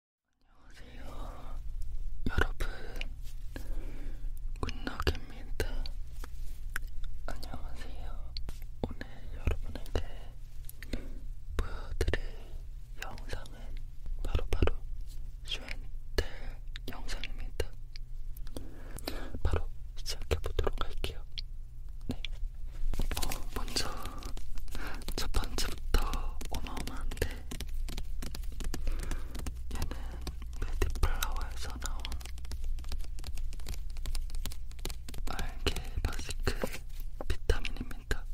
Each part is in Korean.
안녕하세요 여러분 굿나입니다 안녕하세요 오늘 여러분에게 보여드릴 영상은 바로바로 슈엔텔 영상입니다 바로 시작해보도록 할게요 네. 어, 먼저 첫 번째부터 어마어마한데 얘는 메디플라워에서 나온 알게 바시크 비타민입니다.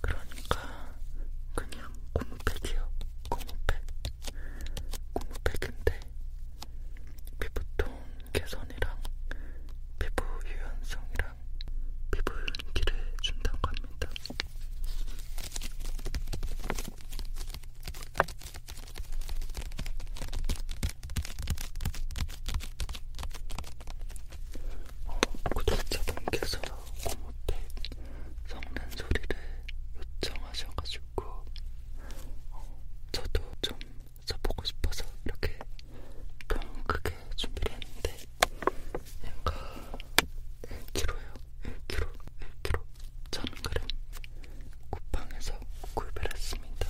그러니까 그냥 고무팩이요. 고무팩. 고무팩인데 피부톤 개선이랑 피부 유연성이랑 피부윤기를 준다고 합니다. 어, 구독자분께서 고모택 섞는 소리를 요청하셔가지고 어, 저도 좀 써보고 싶어서 이렇게 통 크게 준비를 했는데 약간 1kg에요. 1kg, 1kg, 1000g 쿠팡에서 구입했습니다.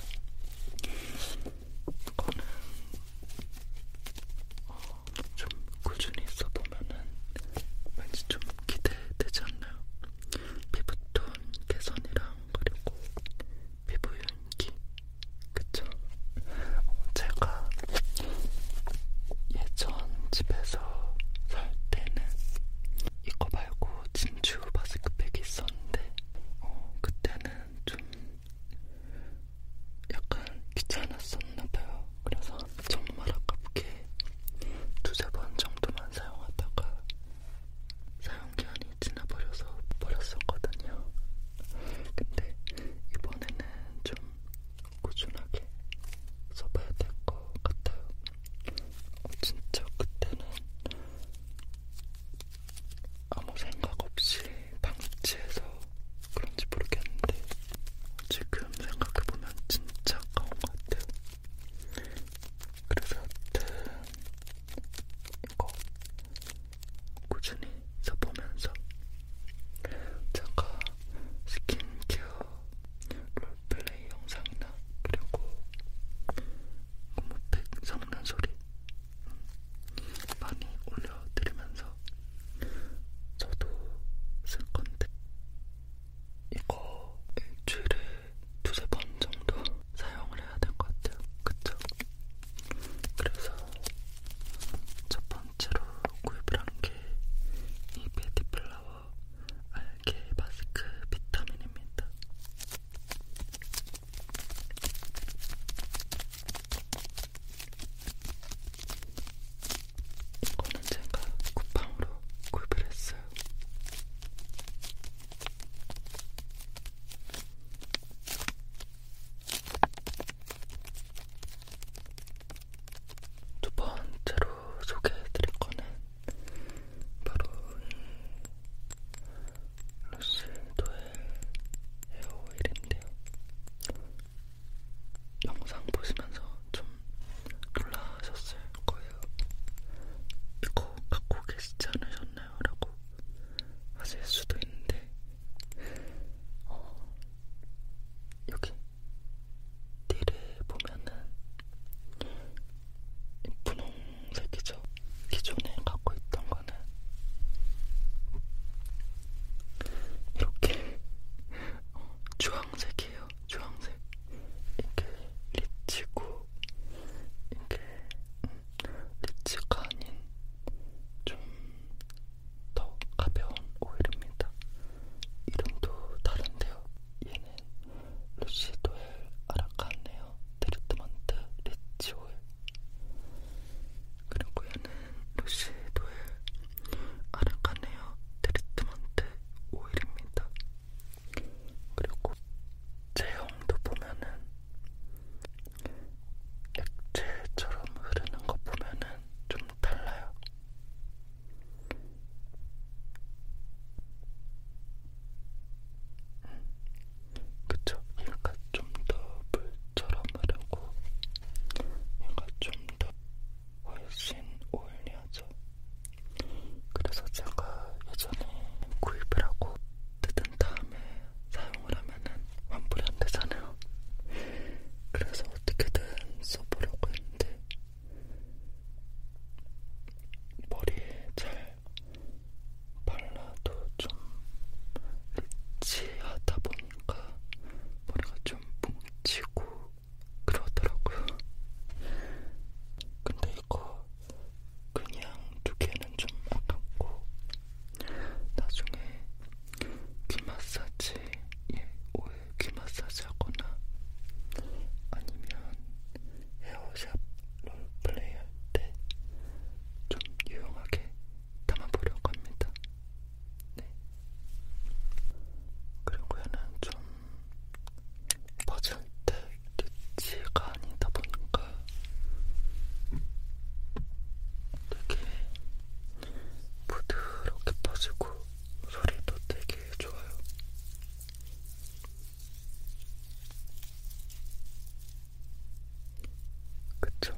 이거는 어, 좀 꾸준히 써보면은 왠지 좀 기대되지 않나요? 피부톤 개선이랑 그리고 피부 윤기 그쵸? 어, 제가 예전 집에서 살 때는 이거 말고 진주 마스크팩이 있었는데 어, 그때는 좀 약간 귀찮았었나봐요. 그래서 정말 아깝게 두세 번 정도만 사용하다가 사용기한이 지나버려서 버렸었거든요. 근데 이번에는 좀 꾸준하게 써봐야 될 것 같아요. 어, 진짜 그때는 아무 생각 없이 방치해서 그런지 모르겠는데 지금 생각해보면 진짜 아까운 것 같아요. 그래서 하여튼 이거 꾸준히 써보면서 제가 스킨케어 롤플레이 영상이나 그리고 고무팩 섞는 소리 많이 올려드리면서 저도 쓸 건데 이거 일주일에 두세 번 정도 사용을 해야 될 것 같아요. 그쵸? 그래서 첫 번째로 구입을 한 게 이 베디플라워 알게 마스크 비타민입니다. 이거는 제가 쿠팡으로 구입을 했어요. 두 번째로 소개해드릴 거는 바로 이 루시도의 헤어오일인데요. 영상 보시면서 좀 놀라셨을 거예요. 이거 갖고 계시지 않으셨나요? 라고 하실 수도 있는데 어, 여기 띠를 보면은 분홍색이죠. 기존에 갖고 있던 거는 이렇게 어, 주황색이에요. 주황색 이렇게 리치고 이렇게 음, 리치가 아닌 좀 더 가벼운 오일입니다. 이름도 다른데요. 얘는 루시도엘 아라카네어 트리트먼트 리치 오일. 그리고 얘는 루시도엘 아라카네어 트리트먼트 오일입니다. 그리고 제형도 보면은 액체처럼 흐르는 거 보면은 좀 달라요. 음, 그쵸? 얘가 좀 더 물처럼 흐르고 얘가 좀 더 훨씬 오일리하죠. 그래서 제가 예전에 구입을 하고 뜯은 다음에 사용을 하면은 환불이 안 되잖아요. 그래서 어떻게든 써보려고 했는데 머리에 잘 발라도 좀 일치하다 보니까 머리가 좀 뭉치고 그러더라고요. 근데 이거 그냥 두개는 좀 아깝고 나중에 귀 마사지에 예, 오일 귀 마사지 하거나 아니면 헤어샵 롤플레이 할 때 좀 유용하게 담아보려고 합니다. 네. 그리고 얘는 좀 퍼즐 때 리치가 아니다 보니까 되게 부드럽게 퍼지고 소리도 되게 좋아요. 그쵸?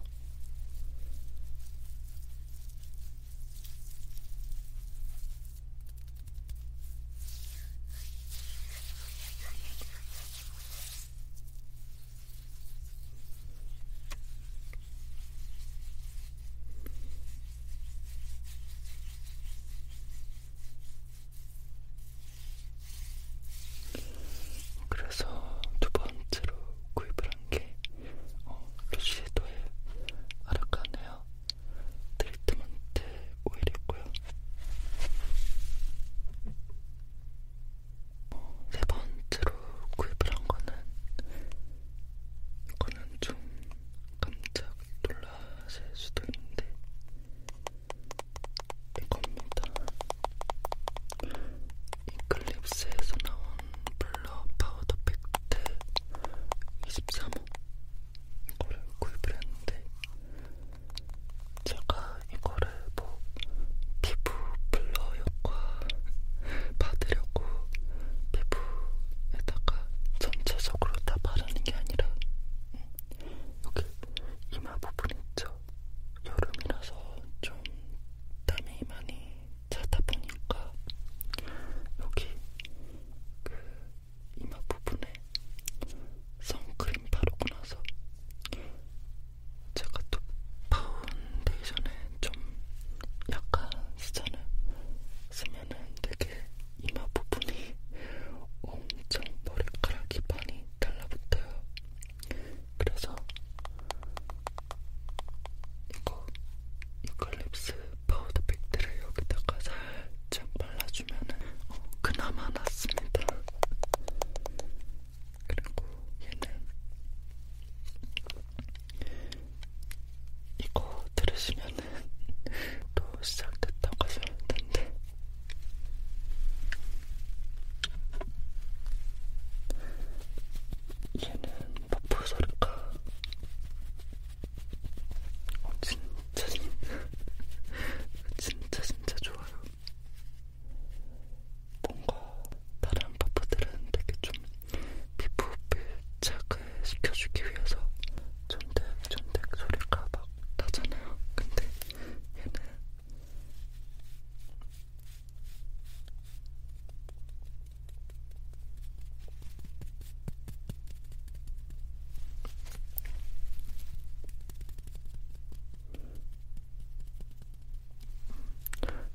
그래서 두 번째로 구입을 한게 어, 루시도의 아라카네어 트리트먼트 오일이고요. 세 네 번째로 구입을 한 거는 이거는 좀 깜짝 놀라실 수도 있는데 이겁니다. 이클립스에서 나온 블러 파우더 팩트 23호 이거를 구입을 했는데 제가 이거를 뭐 피부 블러 효과 받으려고 피부에다가 전체적으로 다 바르는 게 아니라 음, 여기 이마 부분 있죠? 여름이라서 좀 땀이 많이 차다 보니까 여기 그 이마 부분에 선크림 바르고 나서 제가 또 파운데이션에 좀 약간 쓰잖아. 쓰면은 되게 이마 부분이 엄청 머리카락이 많이 달라붙어요. 그래서 이거 유칼립스 파우더 팩트를 여기다가 살짝 발라주면은 어, 그나마 낫습니다. 그리고 얘는 이거 들으시면은 또 시작됐다고 하실 텐데 얘는 버프 소리가 어, 진짜 진짜 진짜 진짜 좋아요. 뭔가 다른 퍼프들은 되게 좀 피부 밀착을 시켜주기 위해서 쫀득쫀득 소리가 막 나잖아요. 근데 얘는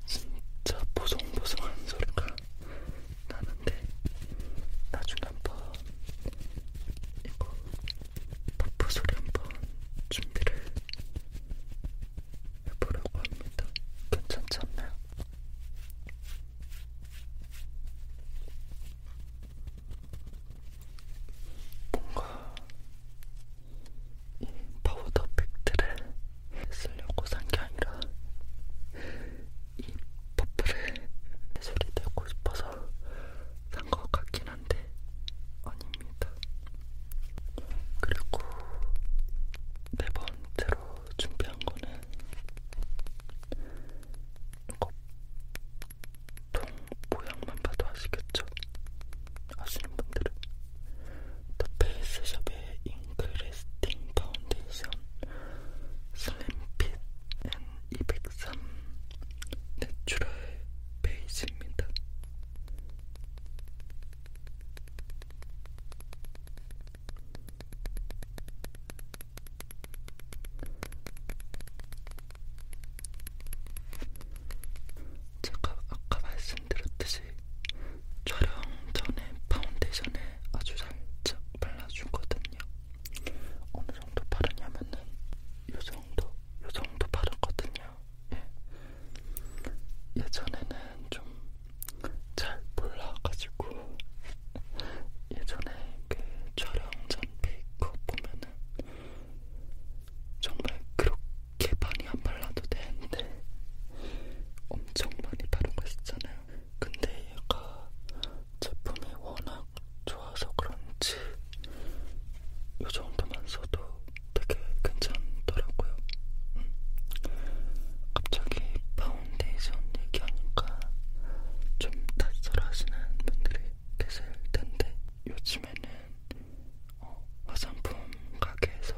진짜 보송보송한 소리가 나는데 나중에 한 번 이거 퍼프 소리 한 번 준비를 해보려고 합니다. 괜찮지 않나요? 뭔가 이 파우더 팩트를 쓰려고 산 게 아니라 이 퍼프를 소리 내고 싶어서 산 것 같긴 한데 아닙니다. 그리고 네 번째로 준비한 거는 이거 통 모양만 봐도 아시겠죠? 아시는 분들은 더 페이스샵의 잉크레스팅 파운데이션 슬림핏 N203 내추럴 베이지입니다. 제가 아까 말씀드렸듯이 촬영 전에 파운데이션을 아주 살짝 발라주거든요. 어느 정도 바르냐면은 요 정도, 요 정도 바르거든요. 예. 예전에는 좀 잘 몰라가지고 예전에 그 촬영 전 메이크업 보면은 정말 그렇게 많이 안 발라도 되는데 엄청 많이 바르고 있잖아요. 근데 얘가 제품이 워낙 좋아서 그런지 이 정도만 써도 되게 괜찮더라고요. 음. 갑자기 파운데이션 얘기하니까 좀 낯설어하시는 분들이 계실 텐데 요즘에는 어, 화장품 가게에서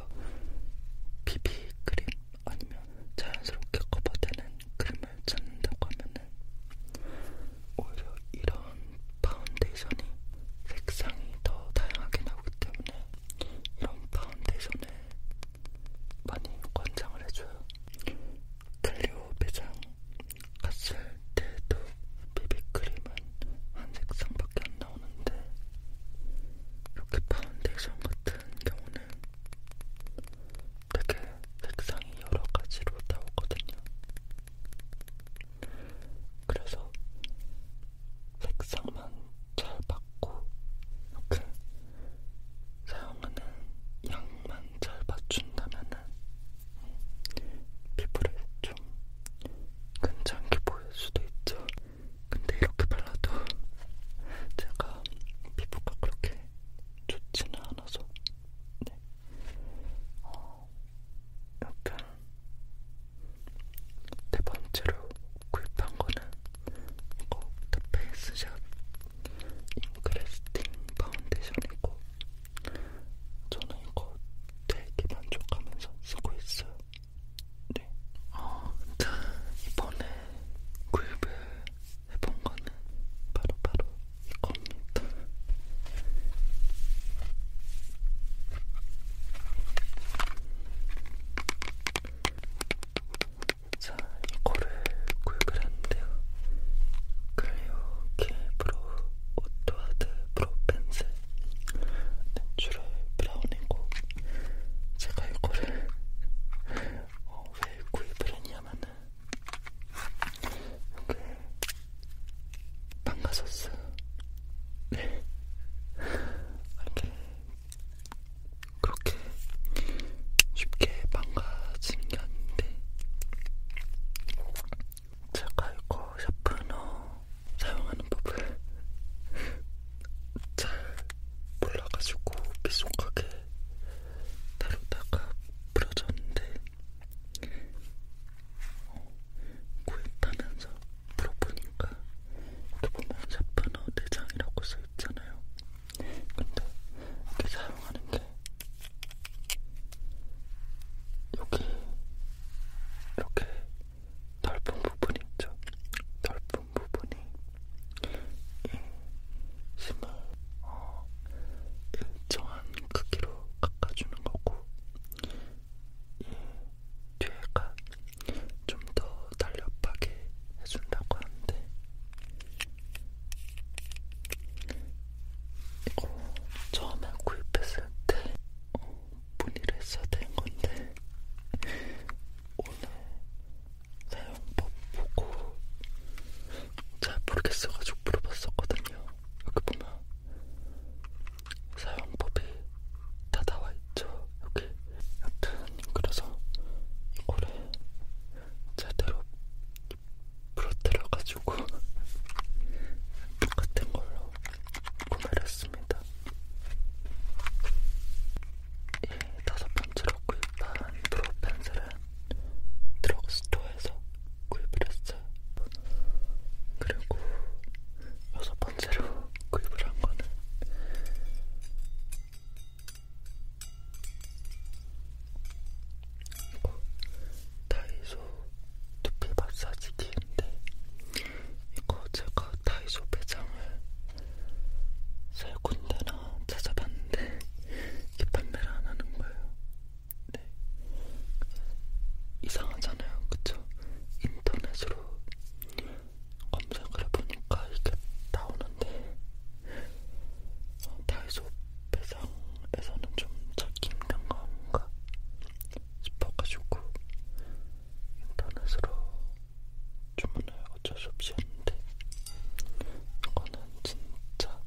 비비 크림 아니면 자연스럽게 커버되는 크림을 찾는다고 하면은 오히려 이런 파운데이션이 색상이 더 다양하게 나오기 때문에 이런 파운데이션에 많이 권장을 해줘요. 클리오 매장 갔을 때도 비비크림은 한 색상밖에 안 나오는데 이렇게 파운데이션 같은 경우는 되게 색상이 여러 가지로 나오거든요. 그래서 색상만 잘 받고 이렇게 사용하는 양만 잘 맞춘다면은 피부를 좀 괜찮게 보일 수도 있죠. 근데 이렇게 발라도 제가 피부가 그렇게 좋지는 않아서 네. 어, 약간 네 번째로 구입한 거는 이거 더 페이스샵 인크레스팅 파운데이션이고 저는 이거 되게 만족하면서 쓰고 있어요. 네. 어, 이번에 구입을 해본 거는 바로바로 바로 이겁니다. 자, 이거를 구입을 했는데요. 클리오 K 브로 오토하드 브로 펜슬 내추럴 브라운이고 제가 이거를 어, 왜 구입을 했냐면은 이게 그 망가졌어요. 네. 이렇게 그렇게 쉽게 망가지는 게 아닌데 제가 이거 샤프너 사용하는 법을 잘 몰라가지고 비속하게 다루다가 부러졌는데 어, 구했다면서 물어보니까 이렇게 보면 샤프너 내장이라고 써있잖아요 근데 이렇게 사용하는 게 여기 이렇게 넓은 부분 있죠? 넓은 부분이 이 심을 어, 일정한 크기로 깎아주는 거고 이 뒤에가 좀더 날렵하게 해준다고 하는데 이거 처음에 구입했을 때 어, 문의를 했어야 되는 건데 오늘 사용법 보고 잘 모르겠어가지고 물어봤었거든요. 여기 보면 사용법이 다 나와 있죠. 여기 여튼 그래서 이거를 제대로 부러뜨려가지고 똑같은 걸로 구매를 했습니다. 이 예, 다섯 번째로 구입한 브로 펜슬은 드럭스토어에서 구입을 했어요. 그리고 여섯 번째로 구입을 한 거는 그리고 어, 다이소 두피 마사지기인데 이거 제가 다이소 매장을 세 군데나 찾아봤는데 이게 판매를 안 하는 거예요. 네. 이상하잖아요, 그쵸? 인터넷으로 검색을 해보니까 이게 나오는데 다이소 배상에서는 좀 찾기 힘든 건가 싶어가지고 인터넷으로 주문을 어쩔 수 없이 했는데 이거는 진짜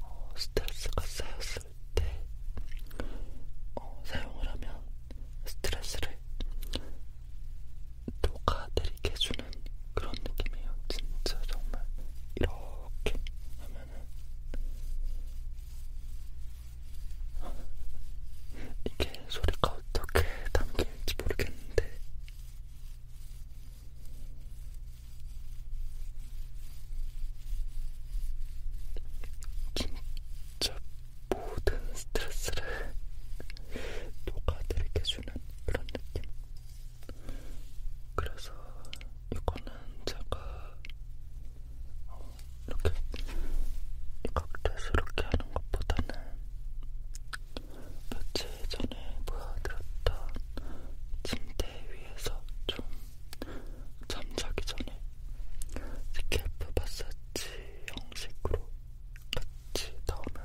어, 스트레스가 쌓였을 때 어, 사용을 하면 스트레스를 녹아내리게 해주는 그런 느낌이에요. 진짜 정말 이렇게 하면은 이게 소리가 어떻게 담길지 모르겠는데 진짜 모든 스트레스를 녹아내리게 해주는 그런 느낌. 그래서 이거는 제가 어, 이렇게 각도스럽게 하는 것보다는 며칠 전에 보여드렸던 침대 위에서 좀 잠자기 전에 스케프 마사지 형식으로 같이 같이 넣으면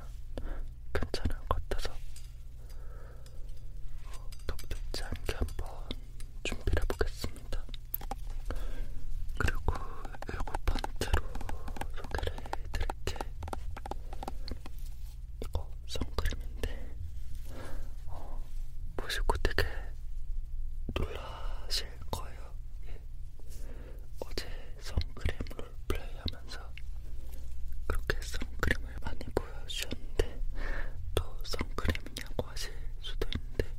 괜찮은 것 같아서 덥지 어, 않게 한번 준비를 해보겠습니다. 그리고 일곱 번째로 소개를 해드릴게 이거 선크림인데 어, 보시고 되게 놀라실 거예요. 예. 어제 선크림 롤플레이 하면서 그렇게 선크림을 많이 보여주셨는데 또 선크림이냐고 하실 수도 있는데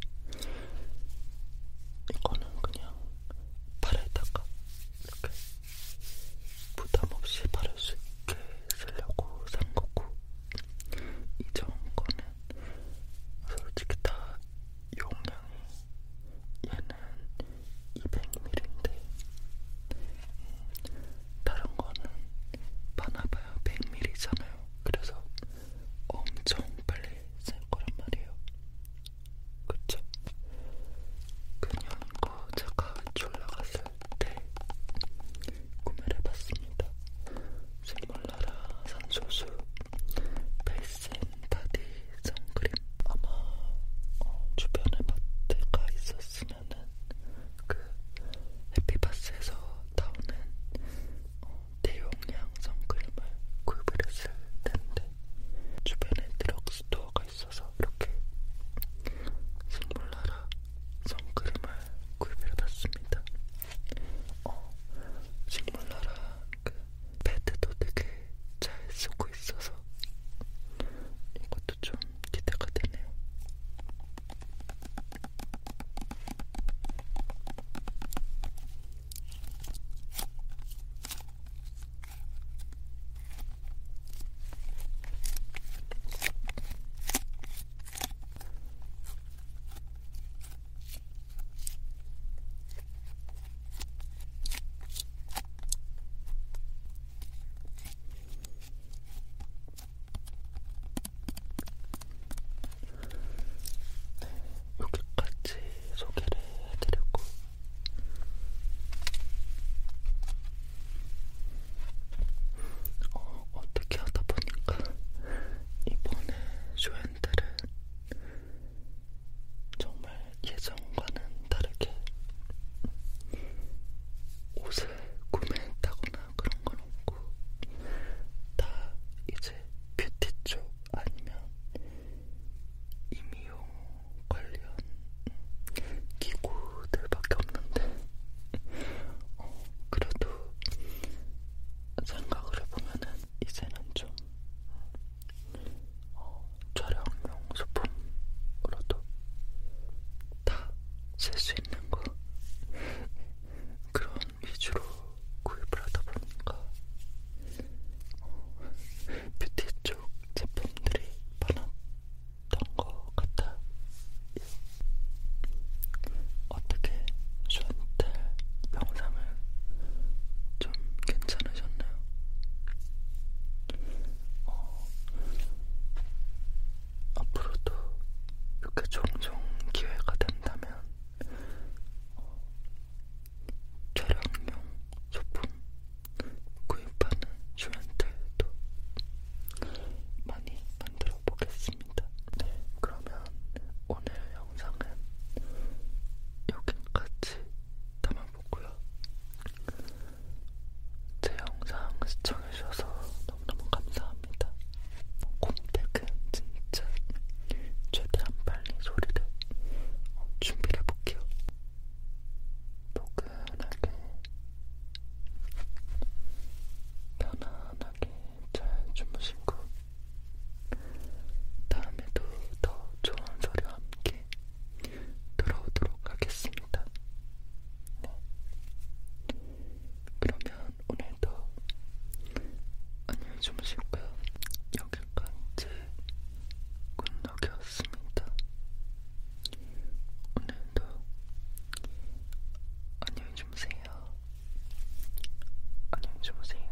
이거는 그냥 팔에다가 이렇게 부담없이 바를 수 있게 쓰려고 산 거고 이전 거는 솔직히 다 용량이 얘는 200ml인데 음, 다른 거는 많아봐요 100ml잖아요. 그래서 엄청 빨리 쓸 거란 말이에요. 그쵸? 그냥 거 그 제가 졸라 갔을 때 구매를 해봤습니다. 생물나라 산소수 베이스 앤 바디 선크림 아마 어, 주변에 마트가 있었으면은 그 해피바스에서 나오는 어, 대용량 선크림을 구입을 했을 텐데 주변에 드럭스토어가 있어서 이렇게 식물나라 선크림을 구입해봤습니다. 어, 식물나라 그 패드도 되게 잘 쓰고 있어서 이것도 좀 기대가 되네요. 여기까지 소개를 해드렸고 어, 어떻게 하다 보니까 이번에 쇼핸들은 정말 예전과는 다르게 옷을 구매했다거나 그런 건 없고 다 이제 뷰티 쪽 아니면 임용 관련 기구들밖에 없는데 어, 그래도 생각을 해보면은 이제는 좀 어, 촬영용 소품으로도 다 쓸 수 있는 거 그런 위주로 구입을 하다 보니까 어, 뷰티 쪽 제품들이 많았던 것 같아요. 어떻게 쇼한테 영상을 좀 괜찮은 않으셨나요? 어, 앞으로도 이렇게 종종 기회가 된다면 어, 촬영용 소품 구입하는 슈렌트도 많이 만들어 보겠습니다. 네, 그러면 오늘 영상은 여기까지 담아보고요. 제 영상 시청해주셔서 너무너무 감사합니다. 곰택은 진짜 최대한 빨리 소리를 준비를 해볼게요. 포근하게, 편안하게 잘 주무시고 다음에도 더 좋은 소리와 함께 들어오도록 하겠습니다. 네. 그러면 오늘도 안녕히 주무시고요. 여기까지 군락이었습니다. 오늘도 안녕히 주무세요. 안녕히 주무세요.